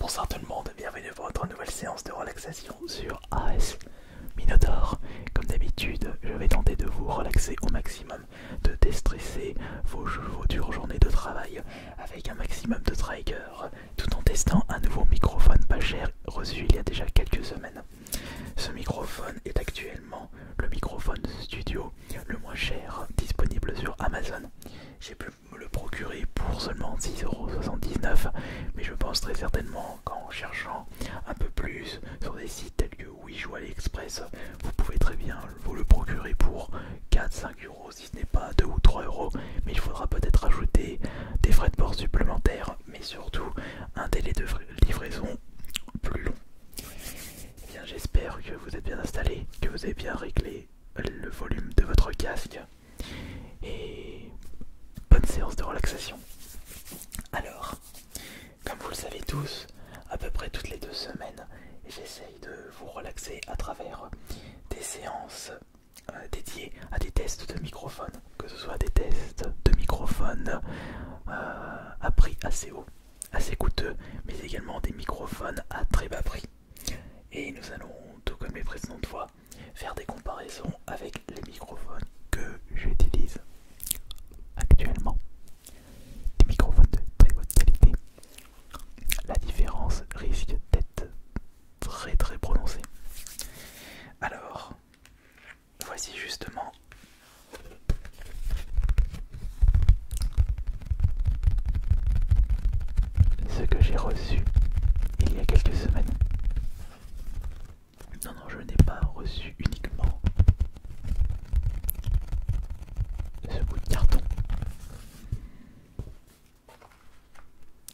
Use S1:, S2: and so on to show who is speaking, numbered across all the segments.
S1: Bonsoir tout le monde, bienvenue à votre nouvelle séance de relaxation sur AS Minotaur. Comme d'habitude, je vais tenter de vous relaxer au maximum, de déstresser vos, dures journées de travail avec un maximum de triggers, tout en testant un nouveau microphone pas cher reçu il y a déjà quelques semaines. Ce microphone est actuellement le microphone studio le moins cher disponible sur Amazon me le procurer pour seulement 6,79€, mais je pense très certainement qu'en cherchant un peu plus sur des sites tels que Wish ou AliExpress, vous pouvez très bien vous le procurer pour 4 euros si ce n'est pas 2 ou 3€, mais il faudra peut-être ajouter des frais de port supplémentaires, mais surtout un délai de livraison plus long. Eh bien, j'espère que vous êtes bien installé, que vous avez bien réglé le volume de votre casque et bonne séance de relaxation. Alors, comme vous le savez tous, à peu près toutes les deux semaines, j'essaye de vous relaxer à travers des séances euh, dédiées à des tests de microphone, que ce soit des tests de microphones euh, à prix assez haut, assez coûteux, mais également des microphones à très bas prix. Et nous allons, tout comme les précédentes fois, faire des comparaisons avec les microphones que j'utilise actuellement. Des microphones de très bonne qualité. La différence risque d'être très très prononcée. Alors, voici justement ce que j'ai reçu il y a quelques semaines. Non, non, je n'ai pas reçu uniquement ce bout de carton.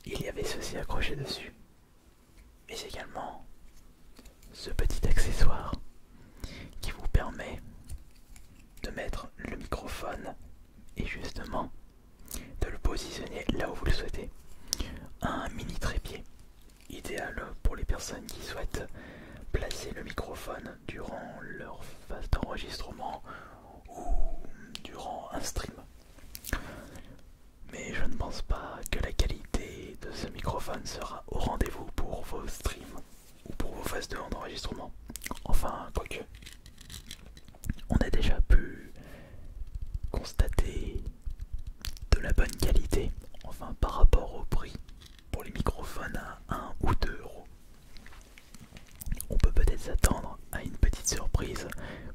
S1: Il y avait ceci accroché dessus, mais également ce petit accessoire qui vous permet de mettre le microphone et justement de le positionner là où vous le souhaitez. Un mini trépied, idéal pour les personnes qui souhaitent placer le microphone durant leur phase d'enregistrement ou durant un stream. Mais je ne pense pas que la qualité de ce microphone sera au rendez-vous pour vos streams ou pour vos phases de d'enregistrement. Enfin, quoique, on a déjà pu constater de la bonne qualité, enfin par rapport au prix pour les microphones à 1 ou 2 euros. On peut peut-être s'attendre à une petite surprise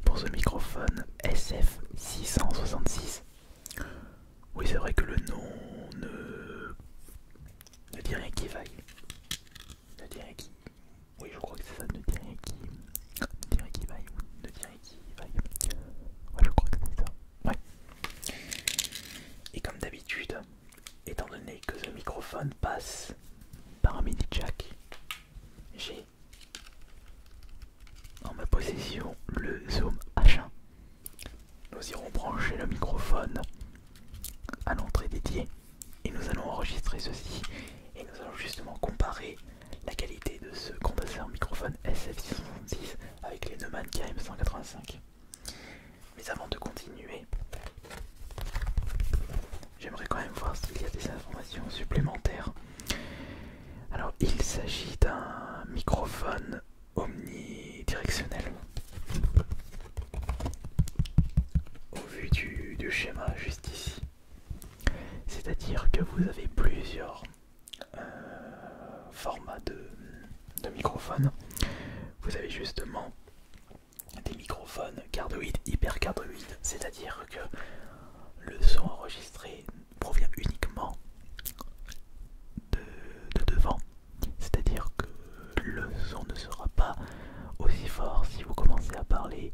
S1: pour ce microphone SF666. Oui, c'est vrai que le nom ne, dit rien qui vaille, ne qui, oui, je crois que c'est ça, ne dire qui. Ne qui vaille, ne qui vaille. Ouais, je crois que c'est ça. Et comme d'habitude, étant donné que le microphone passe par un mini jack, j'ai en ma possession le Zoom H1. Nous irons brancher le microphone à l'entrée dédiée et nous allons enregistrer ceci et nous allons justement comparer la qualité de ce condensateur microphone SF666 avec les Neumann KM185. Mais avant de continuer, j'aimerais quand même voir s'il y a des informations supplémentaires. Alors il s'agit d'un microphone omnidirectionnel vu du, schéma juste ici. C'est-à-dire que vous avez plusieurs euh, formats de, microphones. Vous avez justement des microphones cardioïdes, hyper c'est-à-dire que le son enregistré provient uniquement de devant, c'est-à-dire que le son ne sera pas aussi fort si vous commencez à parler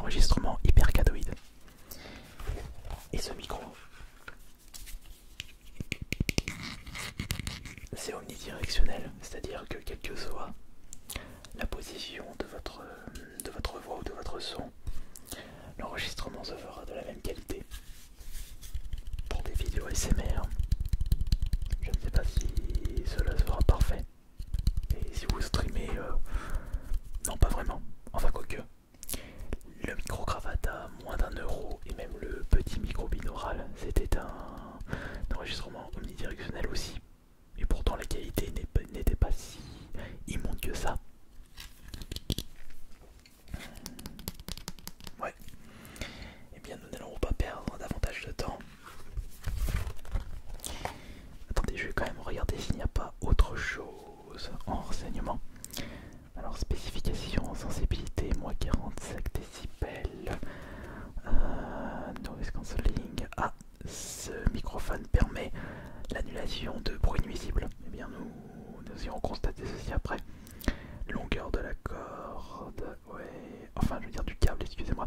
S1: enregistrement hypercadoïde. Et ce micro, c'est omnidirectionnel, c'est-à-dire que quelle que soit la position de votre, de votre voix ou de votre son, l'enregistrement se fera de la même qualité. Pour des vidéos SMR, je ne sais pas si cela sera parfait, et si vous streamez, euh, non pas vraiment, enfin quoique. Le micro-cravate à moins d'un euro et même le petit micro-binaural, c'était un, enregistrement omnidirectionnel aussi. Et pourtant la qualité n'était pas si immonde que ça. Ouais. Eh bien nous n'allons pas perdre davantage de temps. Attendez, je vais quand même regarder s'il n'y a pas autre chose en renseignement. Alors, spécification, sensibilité, moins 45 décibels, euh, noise cancelling. Ah, ce microphone permet l'annulation de bruit nuisible. Eh bien, nous, irons constater ceci après. Longueur de la corde, enfin, je veux dire du câble, excusez-moi.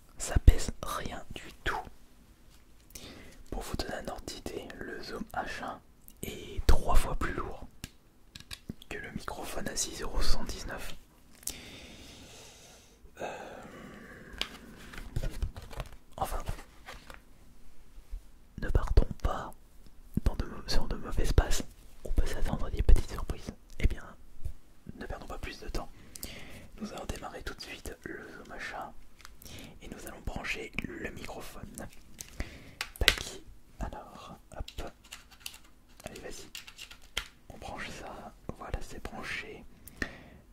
S1: ça pèse rien du tout. Pour vous donner un ordre d'idée, le Zoom H1 est trois fois plus lourd que le microphone à euros 119 euh, Enfin, ne partons pas dans de, sur de mauvais On peut s'attendre à des petites surprises eh bien, ne perdons pas plus de temps. Nous allons démarrer tout de suite le Zoom et nous allons brancher le microphone. Tac, alors, hop, allez, vas-y, on branche ça. Voilà, c'est branché.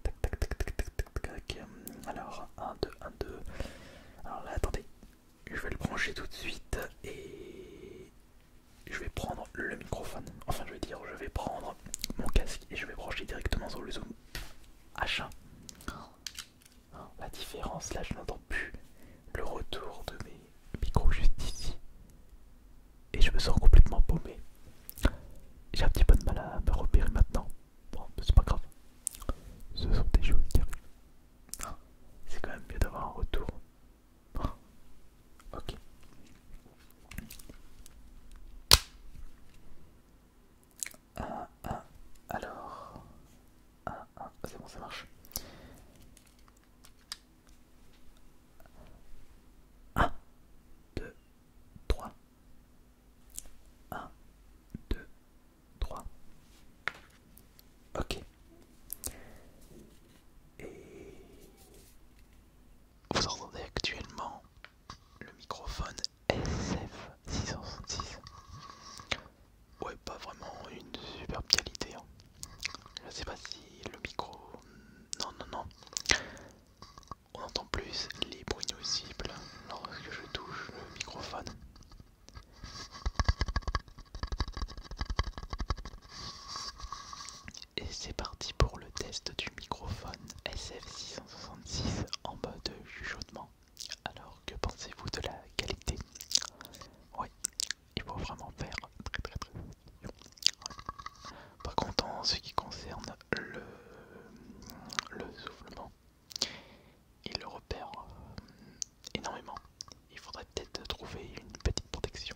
S1: Tac, tac, tac, tac, tac, tac, tac. Alors, 1, 2, 1, 2. Alors là, attendez, je vais le brancher tout de suite et je vais prendre le microphone, enfin je vais dire, je vais prendre mon casque et je vais brancher directement sur le zoom H1. La différence, là je n'entends plus le retour de mes micros juste ici. Et je me sens complètement paumé. J'ai un petit peu de mal à me repérer maintenant. Bon, c'est pas grave. Ce sont des choses qui arrivent. C'est quand même mieux d'avoir un retour Oh. Ok. Alors... C'est bon, ça marche. 1, 2, 3. 1, 2, 3. Ok. Et... Vous entendez actuellement le microphone SF666. Ouais, pas vraiment une superbe qualité. Je hein. Je sais pas si le micro. Non, non, non. On entend plus les bruits nuisibles lorsque je touche le microphone. Et c'est parti pour le test du microphone SF666 en mode chuchotement. Alors que pensez-vous de la qualité Oui, il faut vraiment faire très très très Par contre en ce qui concerne le, le soufflement, il le repère euh, énormément. Il faudrait peut-être trouver une petite protection.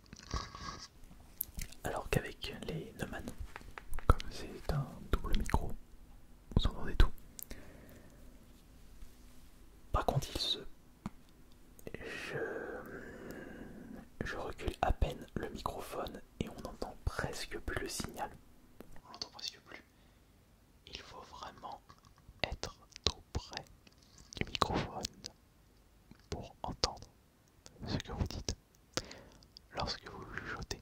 S1: Alors qu'avec les Neumann, comme c'est un double micro, vous entendez tout. Par contre, il se. Je... je recule à peine le microphone et on n'entend presque plus le signal. On n'entend presque plus. Il faut vraiment être tout près du microphone pour entendre ce que vous dites lorsque vous jetez.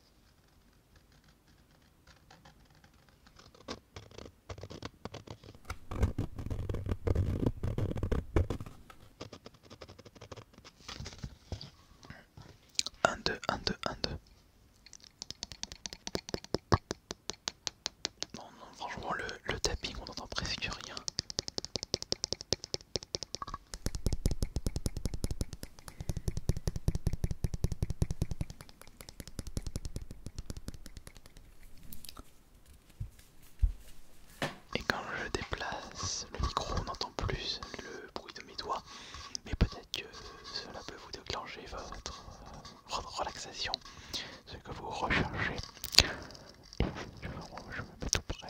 S1: 1 2 1 2 1 2 On n'entend vraiment le le tapping, on entend presque rien. Et quand je déplace le micro, on n'entend plus le bruit de mes doigts. Mais peut-être que cela peut vous déclencher votre, euh, relaxation, ce que vous recherchez. me mets tout près.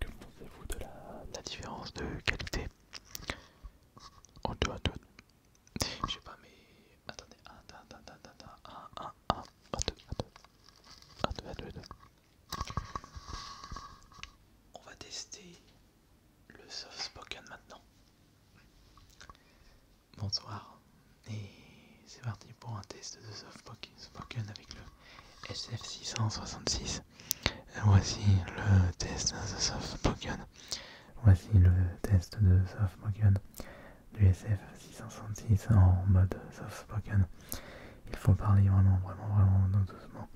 S1: Que pensez-vous de la, différence de qualité On deux à deux. Je sais pas mais... Attendez, un un 1, On va tester le soft spoken maintenant. Bonsoir et c'est parti pour un test de soft spoken avec le SF666. Voici le test de soft spoken. Voici le test de soft spoken du SF666 en mode soft spoken. Il faut parler vraiment, vraiment, vraiment doucement.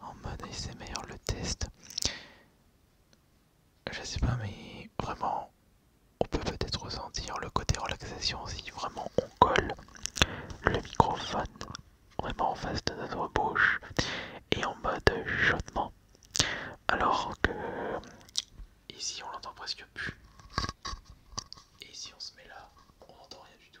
S1: en mode ASMR le test. Je sais pas, mais vraiment, on peut peut-être ressentir le côté relaxation si vraiment on colle le microphone vraiment en face de notre bouche et en mode chaudement. Alors que ici on l'entend presque plus. Et si on se met là, on n'entend rien du tout.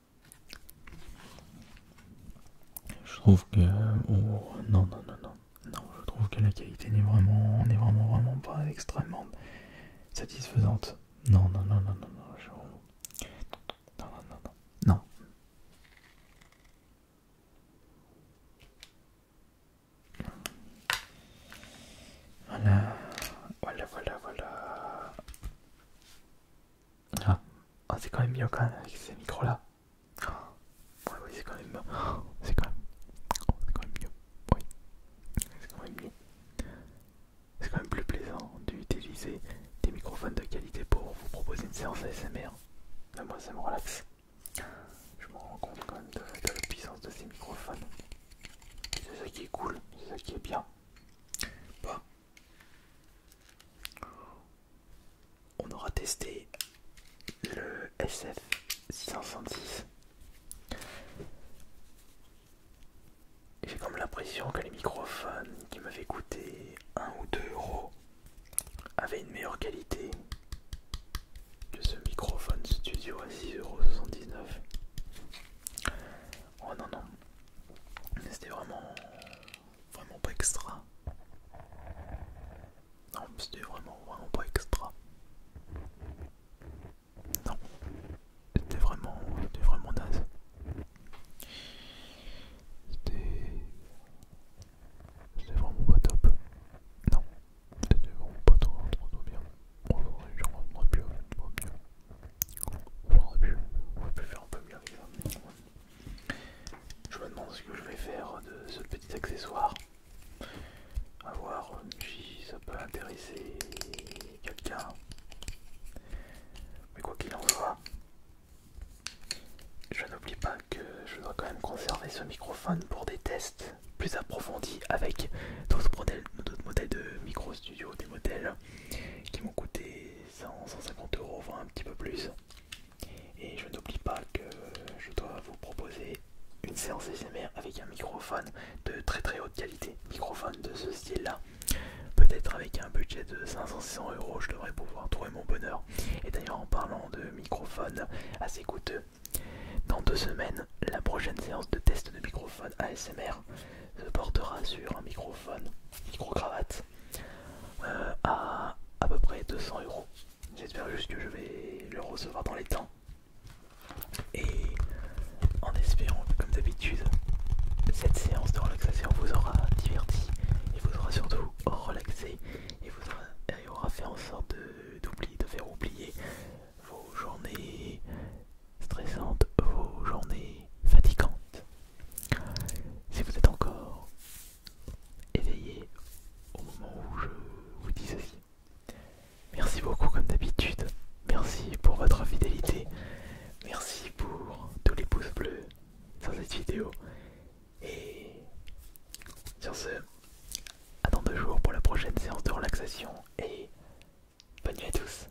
S1: Je trouve que... non, non, non, non. Non, je trouve que la qualité n'est vraiment, n'est vraiment, vraiment pas extrêmement satisfaisante. Non, non, non, non, non, non, Non, non, non, non. Non. Voilà, voilà, voilà, voilà. Ah. ah, c'est quand même mieux quand même avec ces micros là. Ah. oui, c'est quand même. c'est quand, même... Oh, quand même mieux. c'est quand même mieux. C'est quand même plus plaisant d'utiliser des microphones de qualité pour vous proposer une séance ASMR. moi, ça me relaxe. Je me rends compte quand même de, la puissance de ces microphones. C'est ça qui est cool, c'est ça qui est bien. Bah, on aura testé le SF666. J'ai comme l'impression que les microphones qui m'avaient coûté 1 ou 2 euros avaient une meilleure qualité que ce microphone studio à 6,79€. Oh non, non, c'était vraiment vraiment pas extra. Non, c'était vraiment, vraiment pas extra. Non, c'était vraiment, vraiment naze. C'était, vraiment pas top. Non, c'était vraiment pas trop, trop, bien faire un Je me demande ce que je vais faire de ce petit accessoire. A voir si ça peut intéresser quelqu'un. Mais quoi qu'il en soit, je n'oublie pas que je dois quand même conserver ce microphone pour des tests plus approfondis avec d'autres modèles, modèles de micro studio, des modèles qui m'ont coûté 150 euros, voire un petit peu plus. Et je n'oublie pas que je dois vous proposer une séance SMR avec un microphone de très très haute qualité. Microphone de ce style-là. Peut-être avec un budget de 500-600 euros, je devrais pouvoir trouver mon bonheur. Et d'ailleurs, en parlant de microphone assez coûteux, dans deux semaines, la prochaine séance de test de microphone ASMR euh, portera sur un microphone, micro-cravate, euh, à à peu près 200 euros. J'espère juste que je vais le recevoir dans les temps. Et en espérant comme d'habitude, cette séance de relaxation vous aura diverti et vous aura surtout relaxé et vous aura, fait en sorte d'oublier, de faire oublier vos journées stressantes, vos journées fatigantes. Si vous êtes encore éveillé au moment où je vous dis ceci. Merci beaucoup comme d'habitude. Merci pour votre fidélité. Merci pour tous les pouces bleus sur cette vidéo. Et sur ce, à dans deux jours pour la prochaine séance de relaxation. Et bonne nuit à tous.